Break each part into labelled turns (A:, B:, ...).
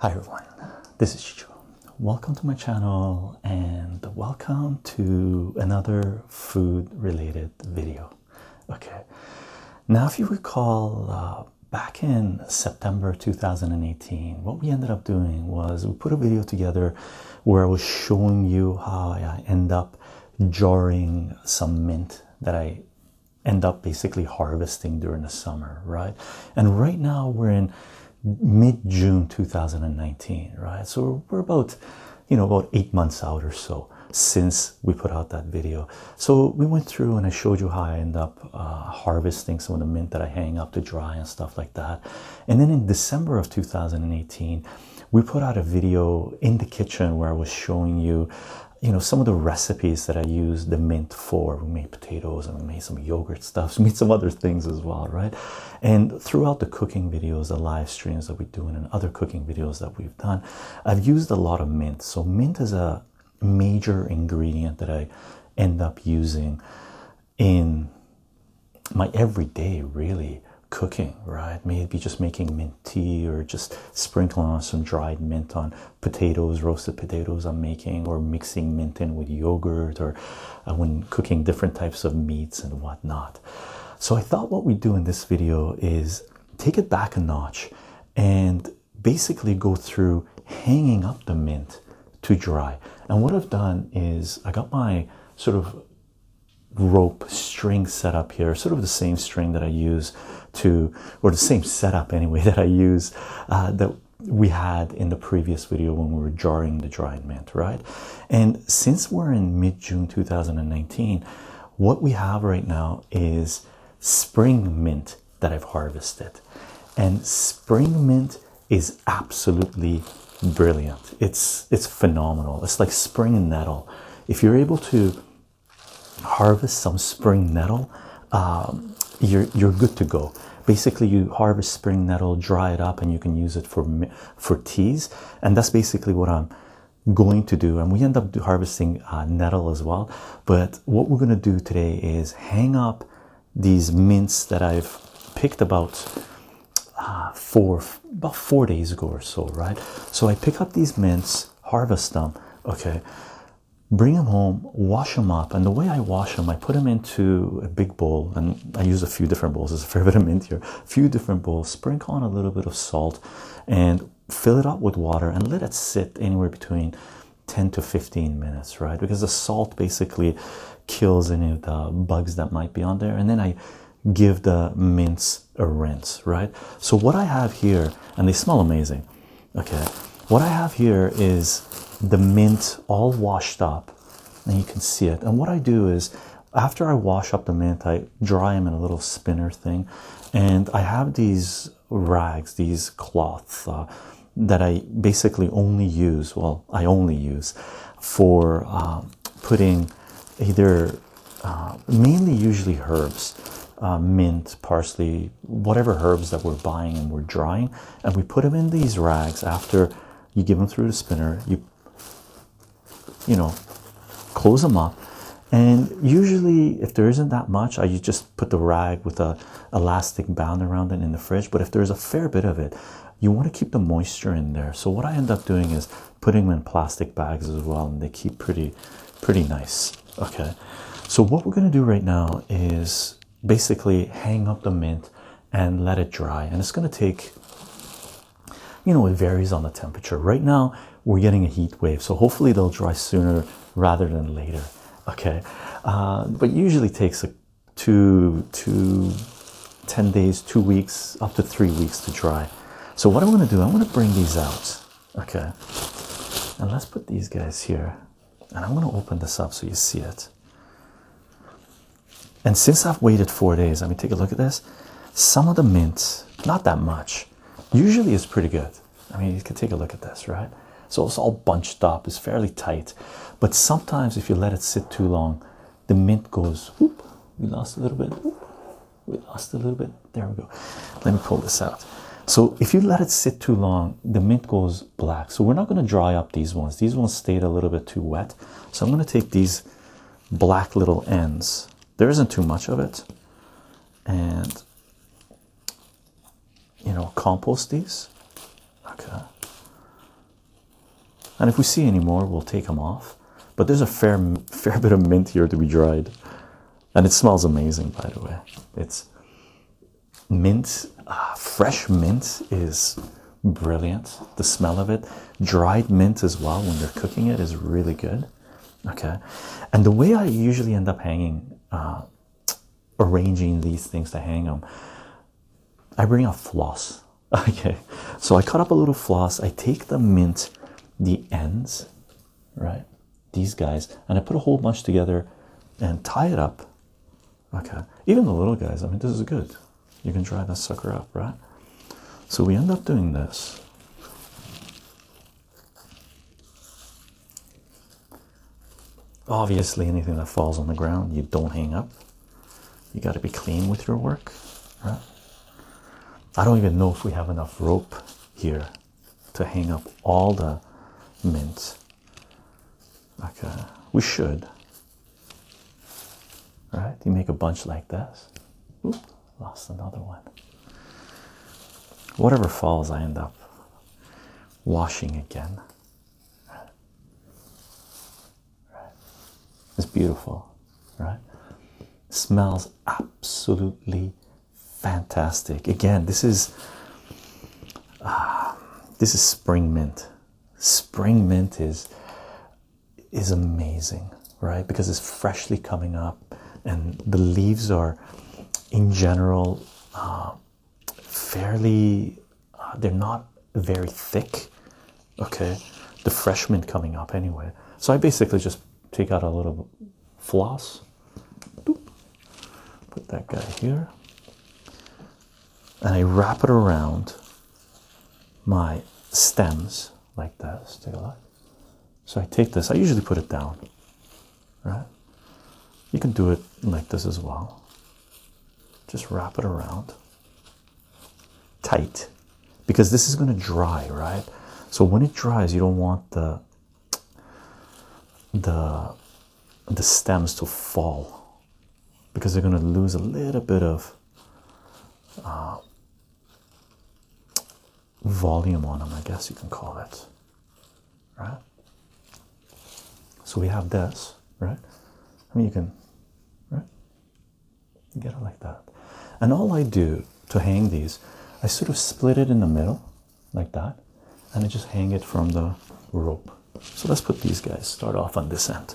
A: Hi everyone, this is Chicho. Welcome to my channel and welcome to another food related video. Okay, now if you recall uh, back in September 2018, what we ended up doing was we put a video together where I was showing you how I end up jarring some mint that I end up basically harvesting during the summer, right? And right now we're in mid June 2019, right? So we're about, you know, about eight months out or so since we put out that video. So we went through and I showed you how I end up uh, harvesting some of the mint that I hang up to dry and stuff like that. And then in December of 2018, we put out a video in the kitchen where I was showing you, you know, some of the recipes that I use the mint for. We made potatoes and we made some yogurt stuffs, we made some other things as well, right? And throughout the cooking videos, the live streams that we do, and other cooking videos that we've done, I've used a lot of mint. So, mint is a major ingredient that I end up using in my everyday, really, cooking, right? Maybe just making mint tea or just sprinkling on some dried mint on potatoes, roasted potatoes I'm making, or mixing mint in with yogurt, or uh, when cooking different types of meats and whatnot. So, I thought what we'd do in this video is take it back a notch and basically go through hanging up the mint to dry. And what I've done is I got my sort of rope string setup here, sort of the same string that I use to, or the same setup anyway that I use uh, that we had in the previous video when we were jarring the dried mint, right? And since we're in mid June 2019, what we have right now is spring mint that I've harvested, and spring mint is absolutely brilliant. It's it's phenomenal. It's like spring nettle. If you're able to harvest some spring nettle, um, you're you're good to go. Basically, you harvest spring nettle, dry it up, and you can use it for for teas. And that's basically what I'm going to do. And we end up harvesting uh, nettle as well. But what we're gonna do today is hang up these mints that I've picked about uh, four about four days ago or so, right? So I pick up these mints harvest them. Okay, bring them home, wash them up. And the way I wash them, I put them into a big bowl, and I use a few different bowls. There's a fair bit of mint here. A few different bowls, sprinkle on a little bit of salt, and fill it up with water and let it sit anywhere between 10 to 15 minutes, right? Because the salt basically kills any of the bugs that might be on there. And then I give the mints a rinse, right? So what I have here, and they smell amazing. Okay, what I have here is the mint all washed up, and you can see it. And what I do is after I wash up the mint, I dry them in a little spinner thing, and I have these rags, these cloths uh, that I basically only use. Well, I only use for uh, putting either uh, mainly usually herbs, uh, mint, parsley, whatever herbs that we're buying and we're drying, and we put them in these rags after you give them through the spinner. You, you know, close them up, and usually if there isn't that much, I just put the rag with a elastic band around it in the fridge. But if there's a fair bit of it, you want to keep the moisture in there. So what I end up doing is putting them in plastic bags as well, and they keep pretty, pretty nice. Okay, so what we're going to do right now is basically hang up the mint and let it dry, and it's going to take you know, it varies on the temperature. Right now, we're getting a heat wave, so hopefully they'll dry sooner rather than later. Okay, uh, but usually takes a two to 10 days, two weeks, up to three weeks to dry. So what I'm going to do, I'm going to bring these out okay and let's put these guys here and i'm going to open this up so you see it and since i've waited four days let me take a look at this some of the mints not that much usually it's pretty good i mean you can take a look at this right so it's all bunched up it's fairly tight but sometimes if you let it sit too long the mint goes whoop we lost a little bit we lost a little bit there we go let me pull this out so if you let it sit too long the mint goes black so we're not going to dry up these ones these ones stayed a little bit too wet so i'm going to take these black little ends there isn't too much of it and you know compost these okay and if we see any more we'll take them off but there's a fair fair bit of mint here to be dried and it smells amazing by the way it's mint ah, fresh mint is brilliant the smell of it dried mint as well when you are cooking it is really good okay and the way i usually end up hanging uh, arranging these things to hang them i bring a floss okay so i cut up a little floss i take the mint the ends right? These guys, and I put a whole bunch together and tie it up. Okay, even the little guys, I mean, this is good. You can dry that sucker up, right? So we end up doing this. Obviously, anything that falls on the ground, you don't hang up. You got to be clean with your work, right? I don't even know if we have enough rope here to hang up all the mints. Okay, uh, we should. All right, you make a bunch like this. lost another one. Whatever falls, I end up washing again. It's beautiful, right? smells absolutely fantastic again this is uh, this is spring mint spring mint is is amazing right because it's freshly coming up and the leaves are in general uh, fairly uh, they're not very thick okay the fresh mint coming up anyway so i basically just take out a little bit floss. Put that guy here. And I wrap it around my stems like this. Take a look. So I take this, I usually put it down, right? You can do it like this as well. Just wrap it around tight because this is going to dry, right? So when it dries, you don't want the the the stems to fall because they're going to lose a little bit of uh, volume on them, I guess you can call it, right? So we have this, right? I mean, you can, right? You get it like that. And all I do to hang these, I sort of split it in the middle like that and I just hang it from the rope. So let's put these guys, start off on this end.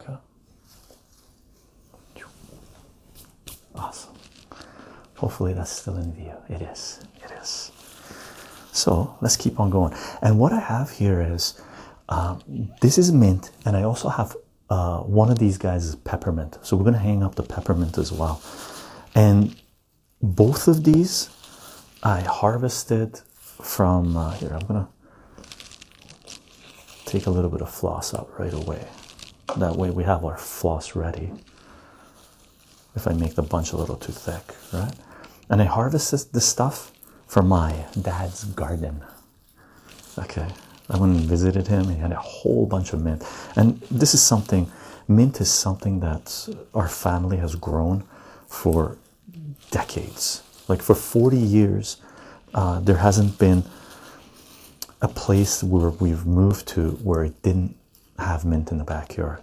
A: Okay. Awesome. Hopefully that's still in view. It is. It is. So let's keep on going. And what I have here is um, this is mint, and I also have uh, one of these guys is peppermint. So we're going to hang up the peppermint as well. And both of these I harvested from uh, here. I'm going to take a little bit of floss out right away. That way we have our floss ready. If I make the bunch a little too thick, right? And I harvested this stuff from my dad's garden. Okay, I went and visited him. He had a whole bunch of mint, and this is something. Mint is something that our family has grown for decades. Like for forty years, uh, there hasn't been a place where we've moved to where it didn't have mint in the backyard.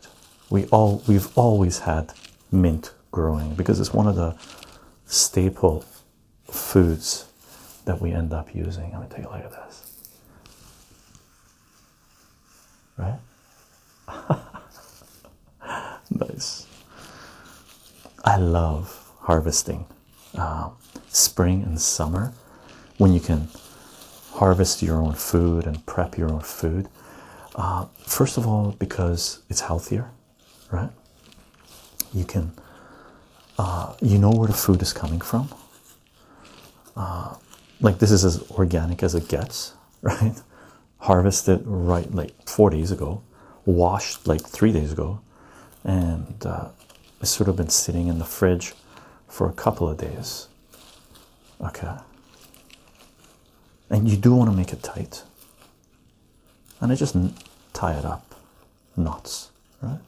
A: We all we've always had mint growing because it's one of the staple foods that we end up using. Let me take a look at this. Right? nice. I love harvesting um, spring and summer when you can harvest your own food and prep your own food. Uh, first of all, because it's healthier right? You can, uh, you know where the food is coming from. Uh, like this is as organic as it gets, right? Harvested right like four days ago, washed like three days ago, and uh, it's sort of been sitting in the fridge for a couple of days. Okay. And you do want to make it tight. And I just tie it up Nuts, right?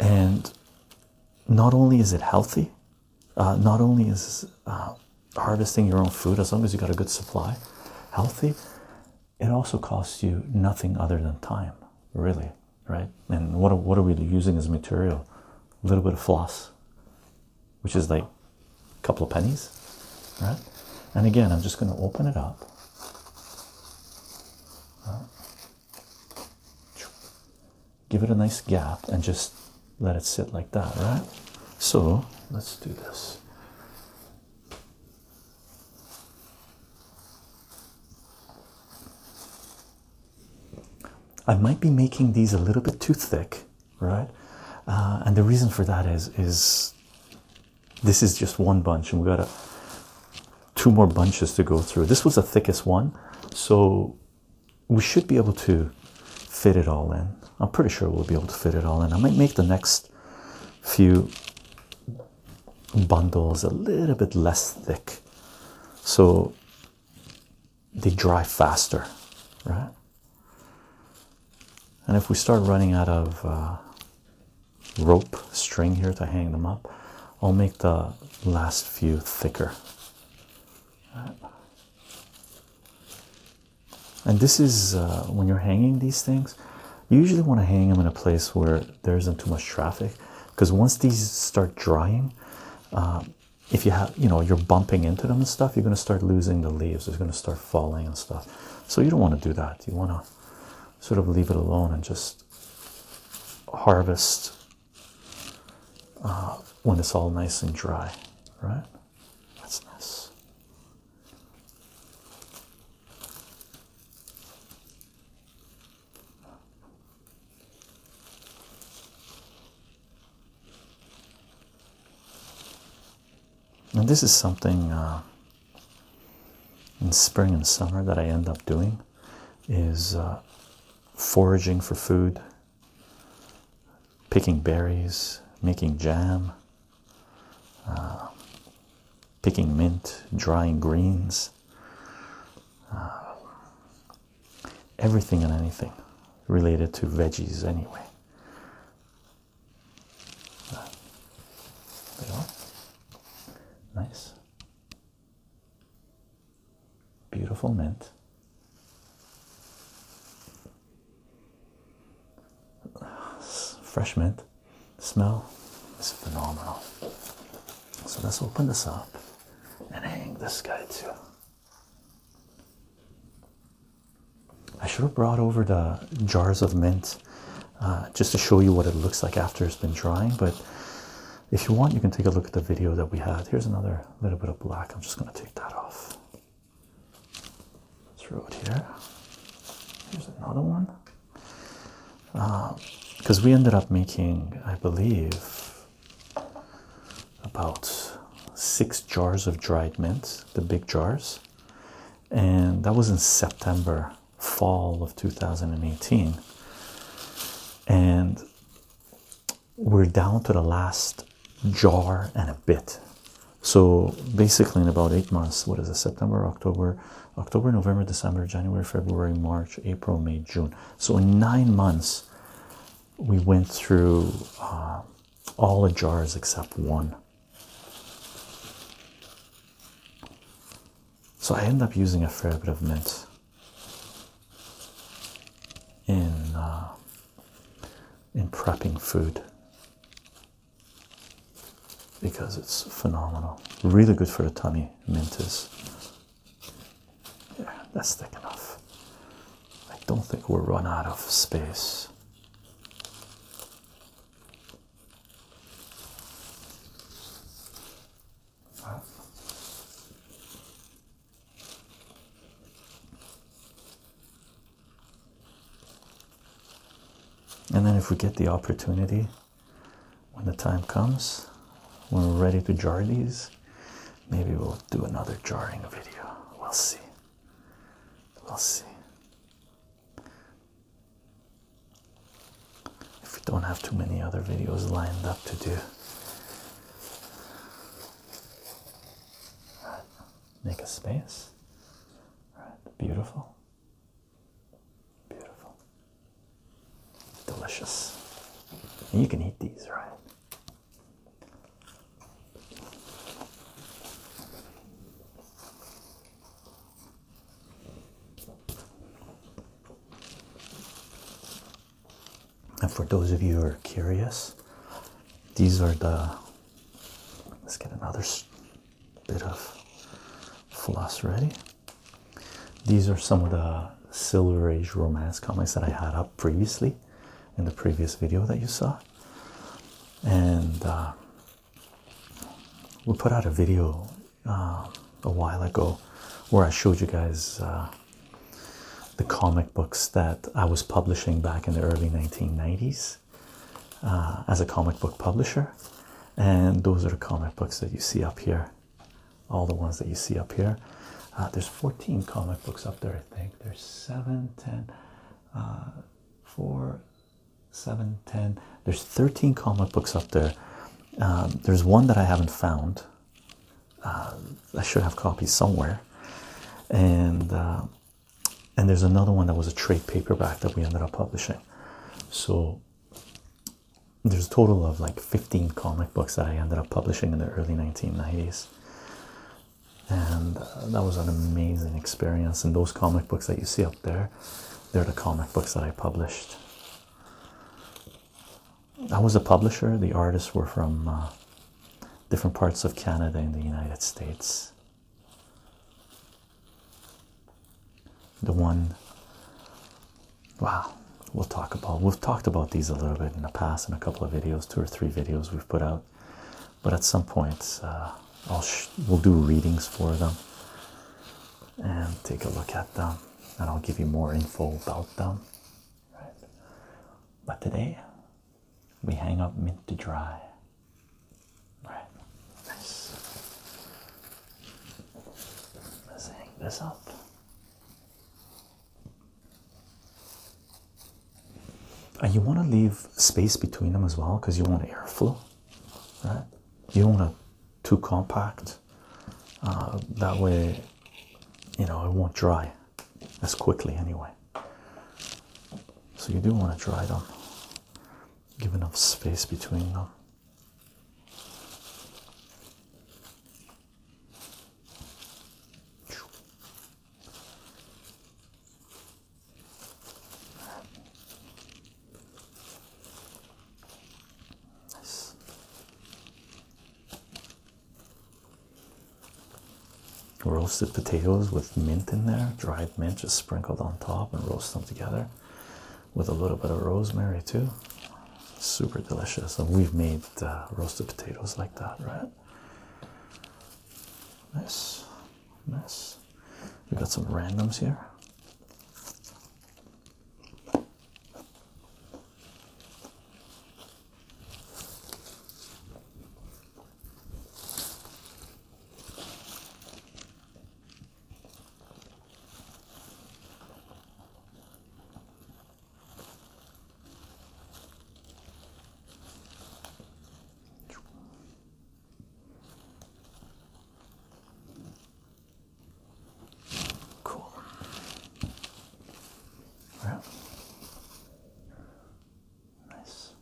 A: And not only is it healthy, uh, not only is uh, harvesting your own food, as long as you got a good supply, healthy, it also costs you nothing other than time, really, right? And what, what are we using as material? A little bit of floss, which is like a couple of pennies, right? And again, I'm just going to open it up. Give it a nice gap and just let it sit like that, right? So let's do this. I might be making these a little bit too thick right? Uh, and the reason for that is is this is just one bunch, and we got two more bunches to go through. This was the thickest one, so we should be able to fit it all in. I'm pretty sure we'll be able to fit it all in. I might make the next few bundles a little bit less thick so they dry faster, right? And if we start running out of uh, rope string here to hang them up, I'll make the last few thicker. And this is uh, when you're hanging these things, you usually want to hang them in a place where there isn't too much traffic because once these start drying, uh, if you have you know you're bumping into them and stuff you're going to start losing the leaves it's going to start falling and stuff so you don't want to do that you want to sort of leave it alone and just harvest uh, when it's all nice and dry right that's nice and this is something uh, in spring and summer that I end up doing is uh, foraging for food, picking berries, making jam, uh, picking mint, drying greens, everything and anything related to veggies anyway there you are. Nice. Beautiful mint. Fresh mint. smell is phenomenal. So let's open this up and hang this guy too. I should have brought over the jars of mint uh, just to show you what it looks like after it's been drying. But if you want, you can take a look at the video that we had. Here's another little bit of black. I'm just going to take that off. Throw it here. Here's another one. Because uh, we ended up making, I believe, about six jars of dried mint, the big jars, and that was in September, fall of 2018. And we're down to the last jar and a bit. So basically, in about eight months, what is it, September, October, October, November, December, January, February, March, April, May, June. So in nine months, we went through uh, all the jars except one. So I end up using a fair bit of mint in uh, in prepping food because it's phenomenal. Really good for the tummy. Mint is. Yeah, that's thick enough. I don't think we'll run out of space. And then, if we get the opportunity when the time comes, when we're ready to jar these, maybe we'll do another jarring video. We'll see. We'll see. If we don't have too many other videos lined up to do, make a space. Right. Beautiful. Beautiful. Delicious. you can eat these, right? And for those of you who are curious, these are the. Let's get another bit of floss ready. These are some of the Silver Age romance comics that I had up previously in the previous video that you saw and uh, we put out a video uh, a while ago where I showed you guys uh, the comic books that I was publishing back in the early 1990s as a comic book publisher, and those are the comic books that you see up here. All the ones that you see up here. there's 14 comic books up there, I think. There's seven, ten four, seven, ten. There's 13 comic books up there. Um, there's one that I haven't found. Uh, I should have copies somewhere, and uh, and there's another one that was a trade paperback that we ended up publishing. So there's a total of like 15 comic books that I ended up publishing in the early 1990s and uh, that was an amazing experience. And those comic books that you see up there, they're the comic books that I published. I was a publisher, the artists were from uh, different parts of Canada and the United States. The one, wow, we'll talk about, we've talked about these a little bit in the past in a couple of videos, two or three videos we've put out but at some point uh, I'll we'll do readings for them and take a look at them, and I'll give you more info about them. Right? But today we hang up mint to dry. Right, nice. Let's hang this up and you want to leave space between them as well because you want airflow, right? You don't want to too compact. Uh, that way, you know, it won't dry as quickly anyway. So you do want to dry them, give enough space between them. Roasted potatoes with mint in there, dried mint just sprinkled on top, and roast them together with a little bit of rosemary, too. Super delicious. And we've made uh, roasted potatoes like that, right? Nice. Nice. We got some randoms here. Cool. Well, nice.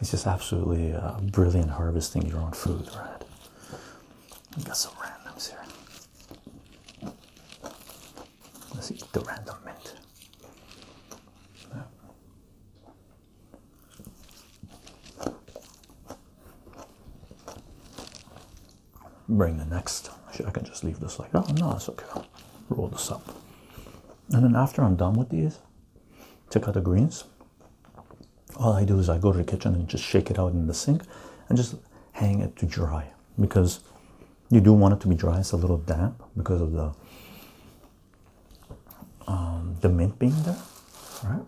A: It's just absolutely brilliant harvesting your own food, right? We got some randoms here. Let's eat the random mint. Bring the next. I can just leave this like Oh, no, it's okay. Roll this up. And then after I'm done with these, Take out the greens. All I do is I go to the kitchen and just shake it out in the sink and just hang it to dry because you do want it to be dry. It's a little damp because of the um, the mint being there, right?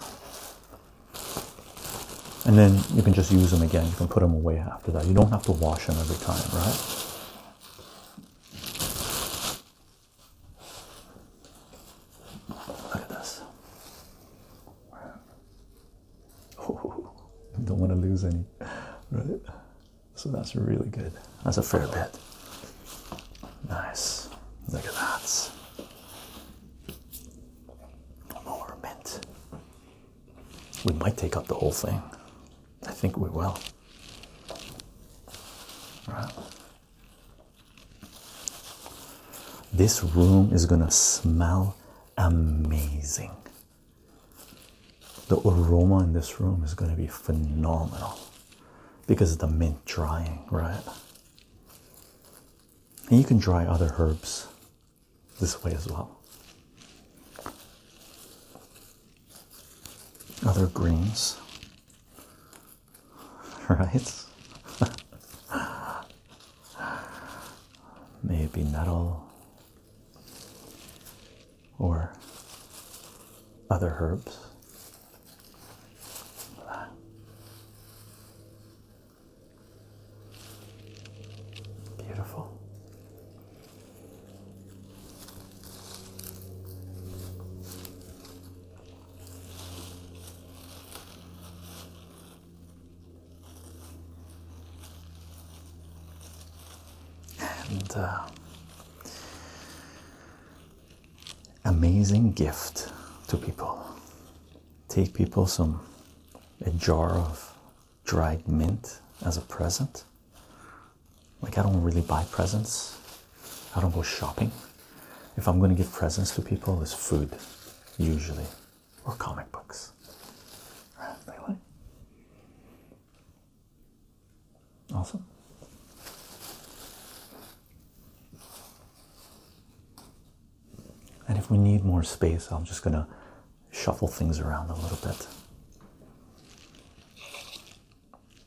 A: And then you can just use them again. You can put them away after that. You don't have to wash them every time, right? Look at this. don't want to lose any, right? So that's really good. That's a fair bit. Nice. Look at that. More mint. We might take up the whole thing. I think we will. Right. This room is gonna smell amazing. The aroma in this room is gonna be phenomenal because of the mint drying, right? And you can dry other herbs this way as well. Other greens. right? Maybe nettle or other herbs. Beautiful. And uh, amazing gift to people. Take people some a jar of dried mint as a present. Like I don't really buy presents I don't go shopping. If I'm going to give presents to people, it's food, usually, or comic books. Right, awesome. And if we need more space, I'm just going to shuffle things around a little bit.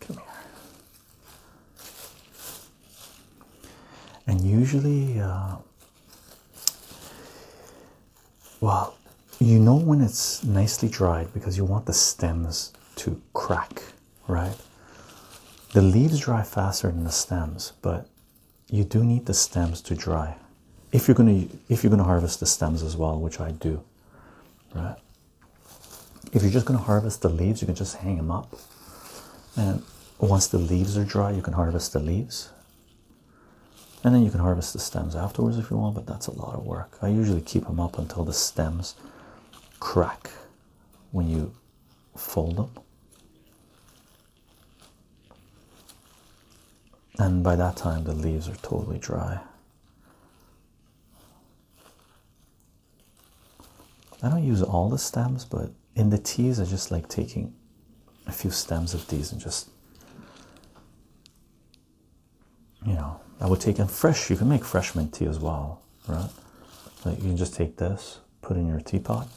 A: Come here. And usually, uh, well, you know when it's nicely dried because you want the stems to crack, right? The leaves dry faster than the stems, but you do need the stems to dry if you're gonna if you're gonna harvest the stems as well, which I do, right? if you're just going to harvest the leaves, you can just hang them up. And once the leaves are dry, you can harvest the leaves. And then you can harvest the stems afterwards if you want, but that's a lot of work. I usually keep them up until the stems crack when you fold them. And by that time, the leaves are totally dry. I don't use all the stems, but in the teas I just like taking a few stems of these and just, you know, I would take them fresh. You can make fresh mint tea as well, right? Like you can just take this, put in your teapot,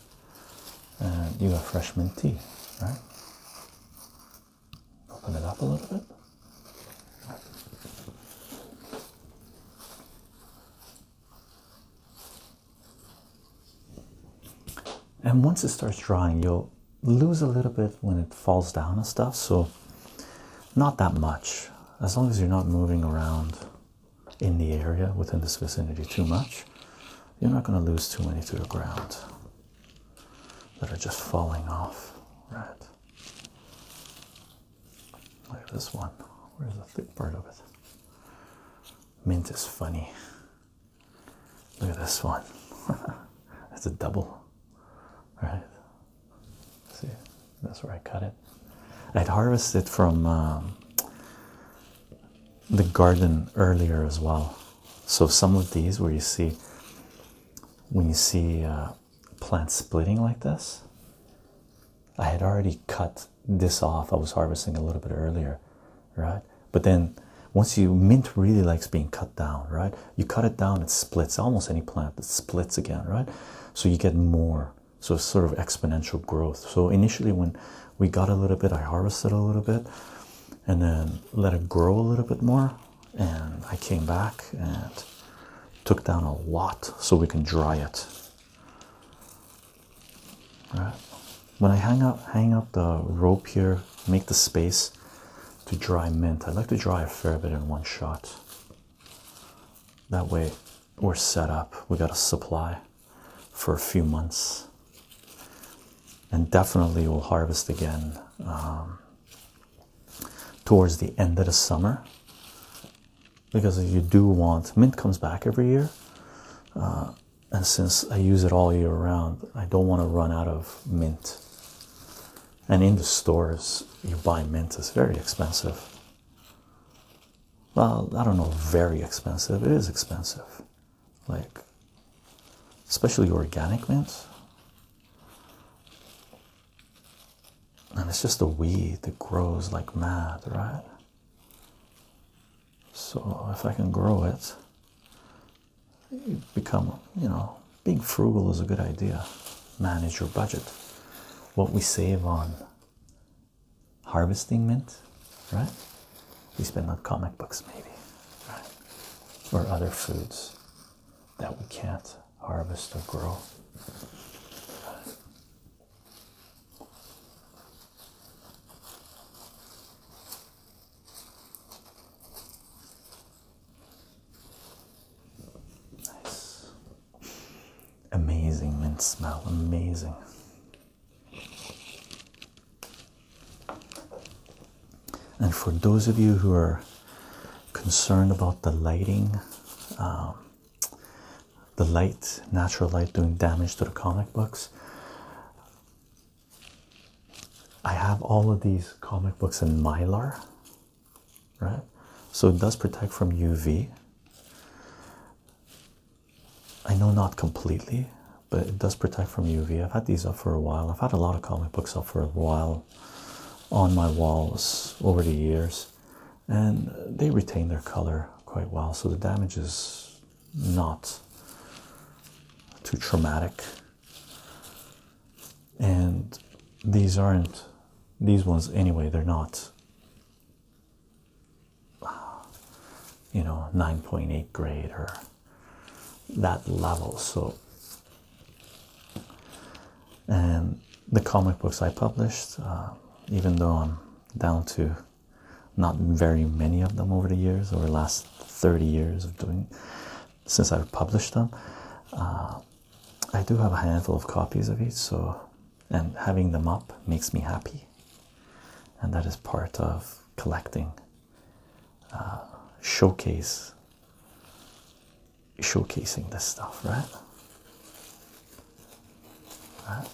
A: and you got fresh mint tea, right? Open it up a little bit. And once it starts drying, you'll lose a little bit when it falls down and stuff, so not that much as long as you're not moving around in the area within this vicinity too much. You're not going to lose too many to the ground that are just falling off, right? Look at this one. Where's the thick part of it? Mint is funny. Look at this one. That's a double. Right? See, that's where I cut it. I'd harvested from um, the garden earlier as well. So some of these where you see when you see uh, plant splitting like this. I had already cut this off. I was harvesting a little bit earlier, right? But then once you mint really likes being cut down, right? You cut it down, it splits. Almost any plant that splits again, right? So you get more. So sort of exponential growth. So initially when we got a little bit, I harvested a little bit and then let it grow a little bit more and I came back and took down a lot so we can dry it. When I hang up hang up the rope here, make the space to dry mint. I like to dry a fair bit in one shot. That way we're set up. We got a supply for a few months. And definitely we'll harvest again um, towards the end of the summer because you do want mint comes back every year uh, and since i use it all year round i don't want to run out of mint and in the stores you buy mint is very expensive well i don't know very expensive it is expensive like especially organic mint and it's just a weed that grows like mad, right? So if I can grow it, become, you know, being frugal is a good idea. Manage your budget. What we save on harvesting mint, right? We spend on comic books, maybe, right? Or other foods that we can't harvest or grow. Nice. Amazing mint smell, amazing. And for those of you who are concerned about the lighting, um, the light, natural light, doing damage to the comic books. I have all of these comic books in mylar, right? So it does protect from UV. I know not completely, but it does protect from UV. I've had these up for a while. I've had a lot of comic books up for a while on my walls over the years and they retain their color quite well, so the damage is not too traumatic. And these aren't these ones anyway, they're not you know 9.8 grade or that level so and the comic books I published, uh, even though I'm down to not very many of them over the years, over the last 30 years of doing since I've published them. Uh, I do have a handful of copies of each, so and having them up makes me happy, and that is part of collecting. Uh, showcase showcasing this stuff, right? right?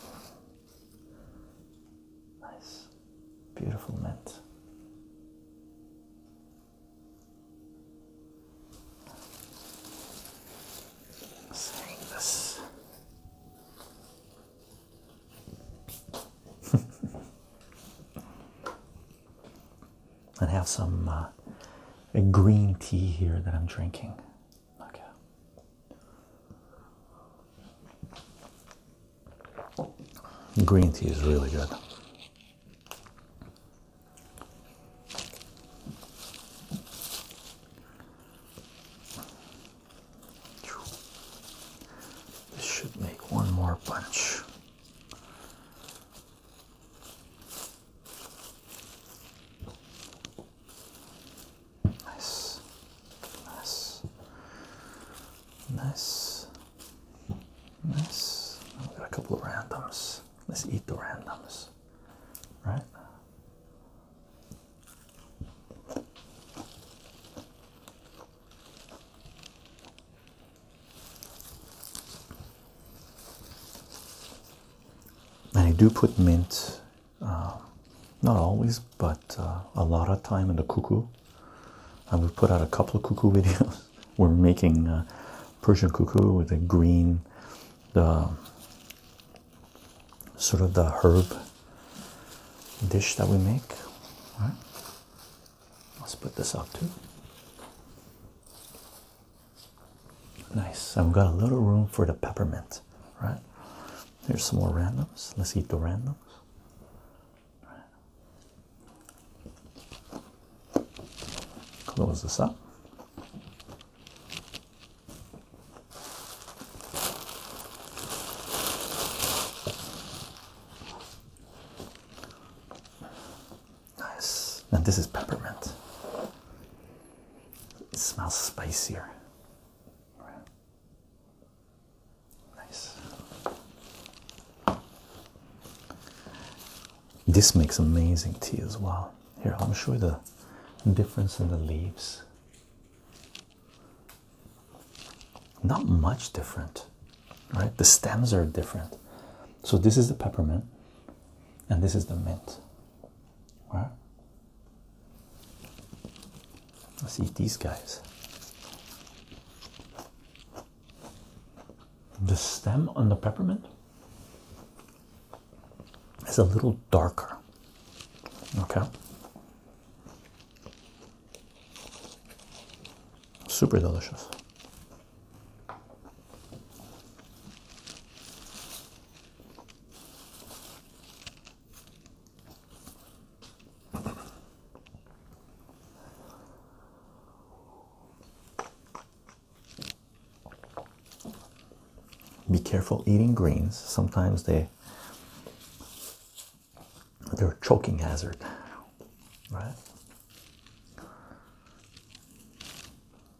A: Nice, beautiful mint. Saying this. and have some uh, green tea here that I'm drinking. Okay. Green tea is really good. This should make one more bunch. Nice, nice, nice, nice. got a couple of randoms. Let's eat the randoms, right? and I do put mint, um, not always, but uh, a lot of time in the cuckoo. And we put out a couple of cuckoo videos. We're making uh, Persian cuckoo with a green, the sort of the herb dish that we make. right. Let's put this up too. Nice. I've got a little room for the peppermint, right? Here's some more randoms. Let's eat the randoms. Close this up. Nice. And this is peppermint. It smells spicier. Nice. This makes amazing tea as well. Here, i am show the difference in the leaves. Not much different, right? The stems are different. So, this is the peppermint, and this is the mint right. Let's eat these guys. The stem on the peppermint is a little darker. Okay. Super delicious. Be careful eating greens. Sometimes they they're a choking hazard, right?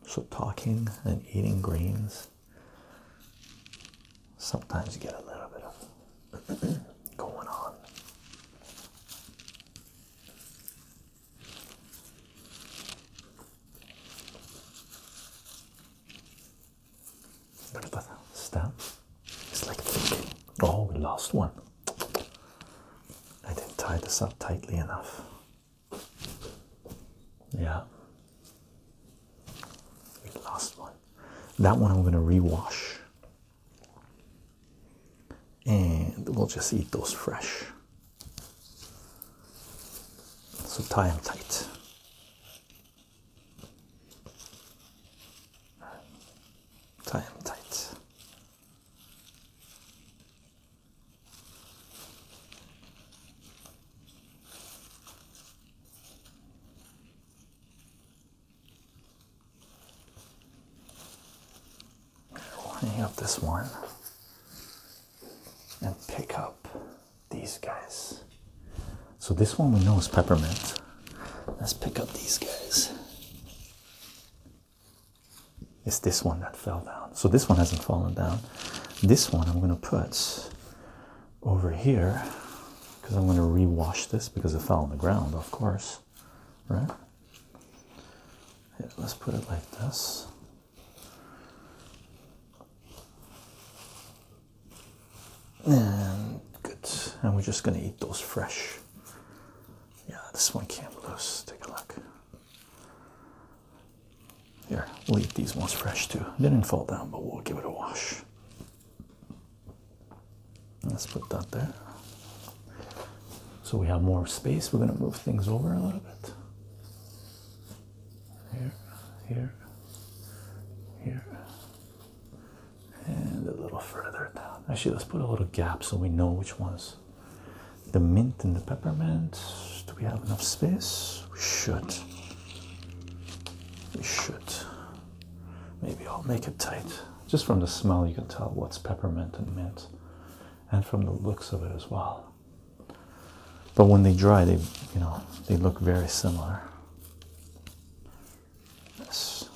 A: So talking and eating greens sometimes you get a little bit of going on. What about It's like oh, we lost one. I didn't tie this up tightly enough. Yeah. last one. That one I'm going to rewash. And we'll just eat those fresh. So tie them tight. Tie them tight lining up this one and pick up these guys. So this one we know is peppermint. Let's pick up these guys. It's this one that fell down. So this one hasn't fallen down. This one I'm going to put over here because I'm going to rewash this because it fell on the ground, of course, right? Yeah, let's put it like this. And good. And we're just going to eat those fresh. Yeah, this one can't lose. Take a look. Here, leave these ones fresh too. didn't fall down, but we'll give it a wash. Let's put that there. So we have more space. We're going to move things over a little bit. Here, here, here, and a little further down. Actually, let's put a little gap so we know which ones. The mint and the peppermint. Do we have enough space? We should. We should. Maybe I'll make it tight. Just from the smell, you can tell what's peppermint and mint, and from the looks of it as well. But when they dry, they, you know, they look very similar. Yes.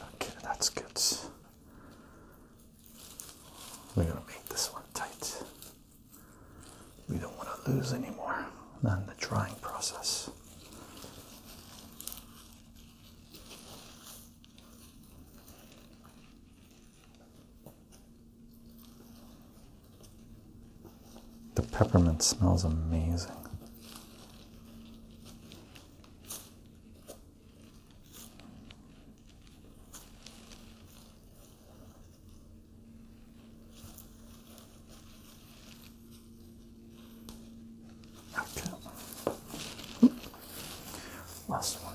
A: Okay, that's good. We're gonna make this one tight we don't want to lose any more than the drying process. The peppermint smells amazing. Okay. Last one.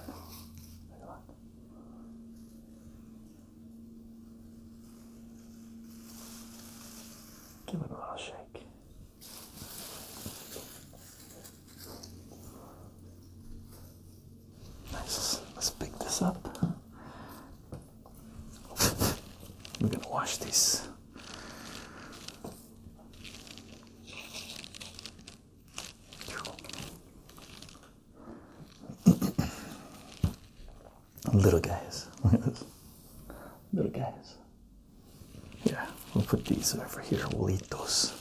A: Give it a little shake. Nice. Let's pick this up. We're gonna wash these. Little guys. Look at this. Little guys. Yeah, we'll put these over here. We'll eat those.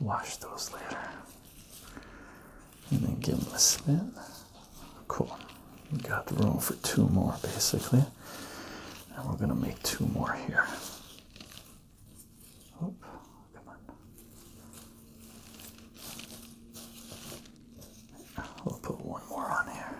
A: Wash those later. And then give them a spin. Cool. We got room for two more basically. And we're gonna make two more here. Oh, come on. We'll put one more on here.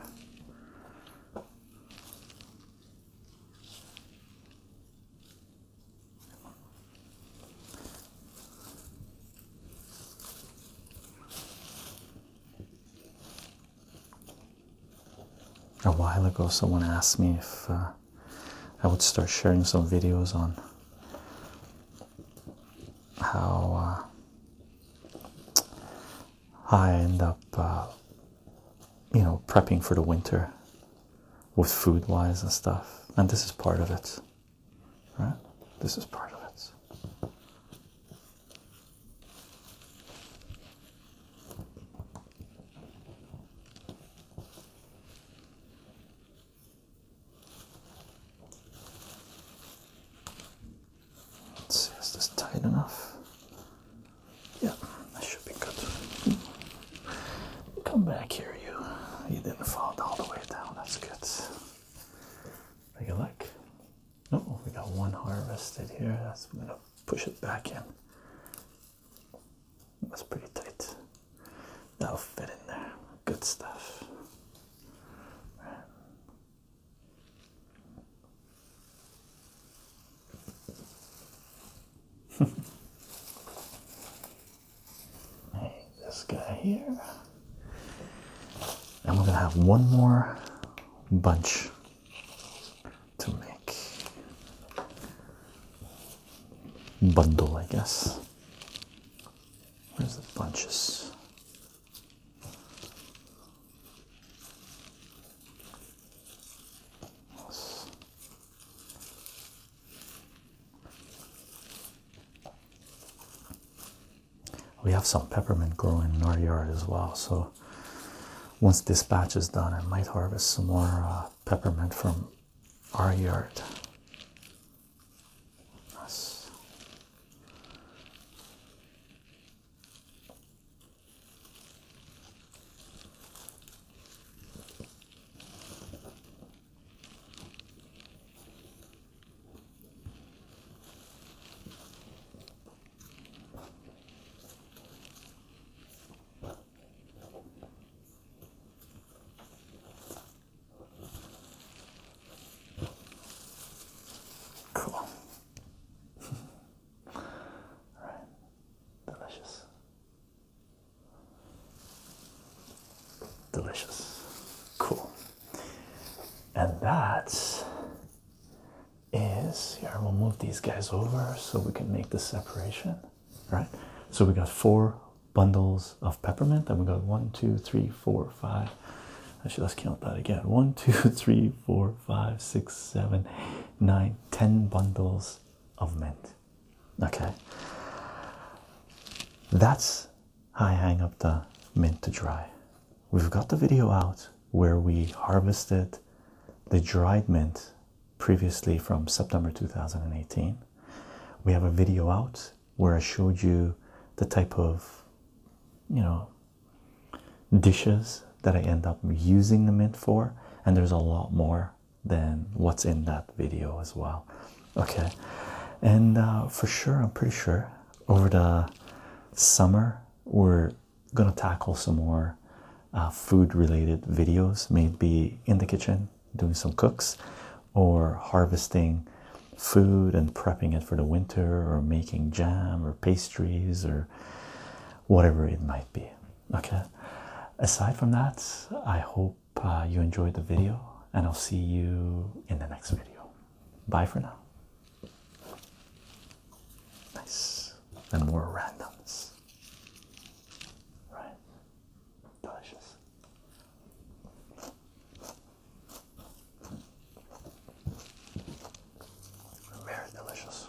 A: A while ago, someone asked me if uh, I would start sharing some videos on how uh, I end up uh, you know, prepping for the winter with food wise and stuff. And this is part of it, right? This is part of it. this tight enough? Yeah, that should be good. Come back here, you. You didn't fall all the way down. That's good. Take a look. Oh, we got one harvested here. That's I'm gonna push it back in. That's pretty tight. That'll fit in there. Good stuff. this guy here. And we're going to have one more bunch to make. Bundle, I guess. Where's the bunches? We have some peppermint growing in our yard as well, so once this batch is done, I might harvest some more uh, peppermint from our yard. Cool. All right. Delicious. Delicious. Cool. And that is here. We'll move these guys over so we can make the separation. Right? So we got four bundles of peppermint, Then we got one, two, three, four, five. Actually, let's count that again. One, two, three, four, five, six, seven, nine, ten bundles of mint. Okay, that's how I hang up the mint to dry. We've got the video out where we harvested the dried mint previously from September 2018. We have a video out where I showed you the type of you know dishes that I end up using the mint for, and there's a lot more then what's in that video as well okay and uh, for sure i'm pretty sure over the summer we're gonna tackle some more uh, food related videos maybe in the kitchen doing some cooks or harvesting food and prepping it for the winter or making jam or pastries or whatever it might be Okay, aside from that, I hope uh, you enjoyed the video, and I'll see you in the next video. Bye for now. Nice, and more randomness, right? Delicious. Very delicious.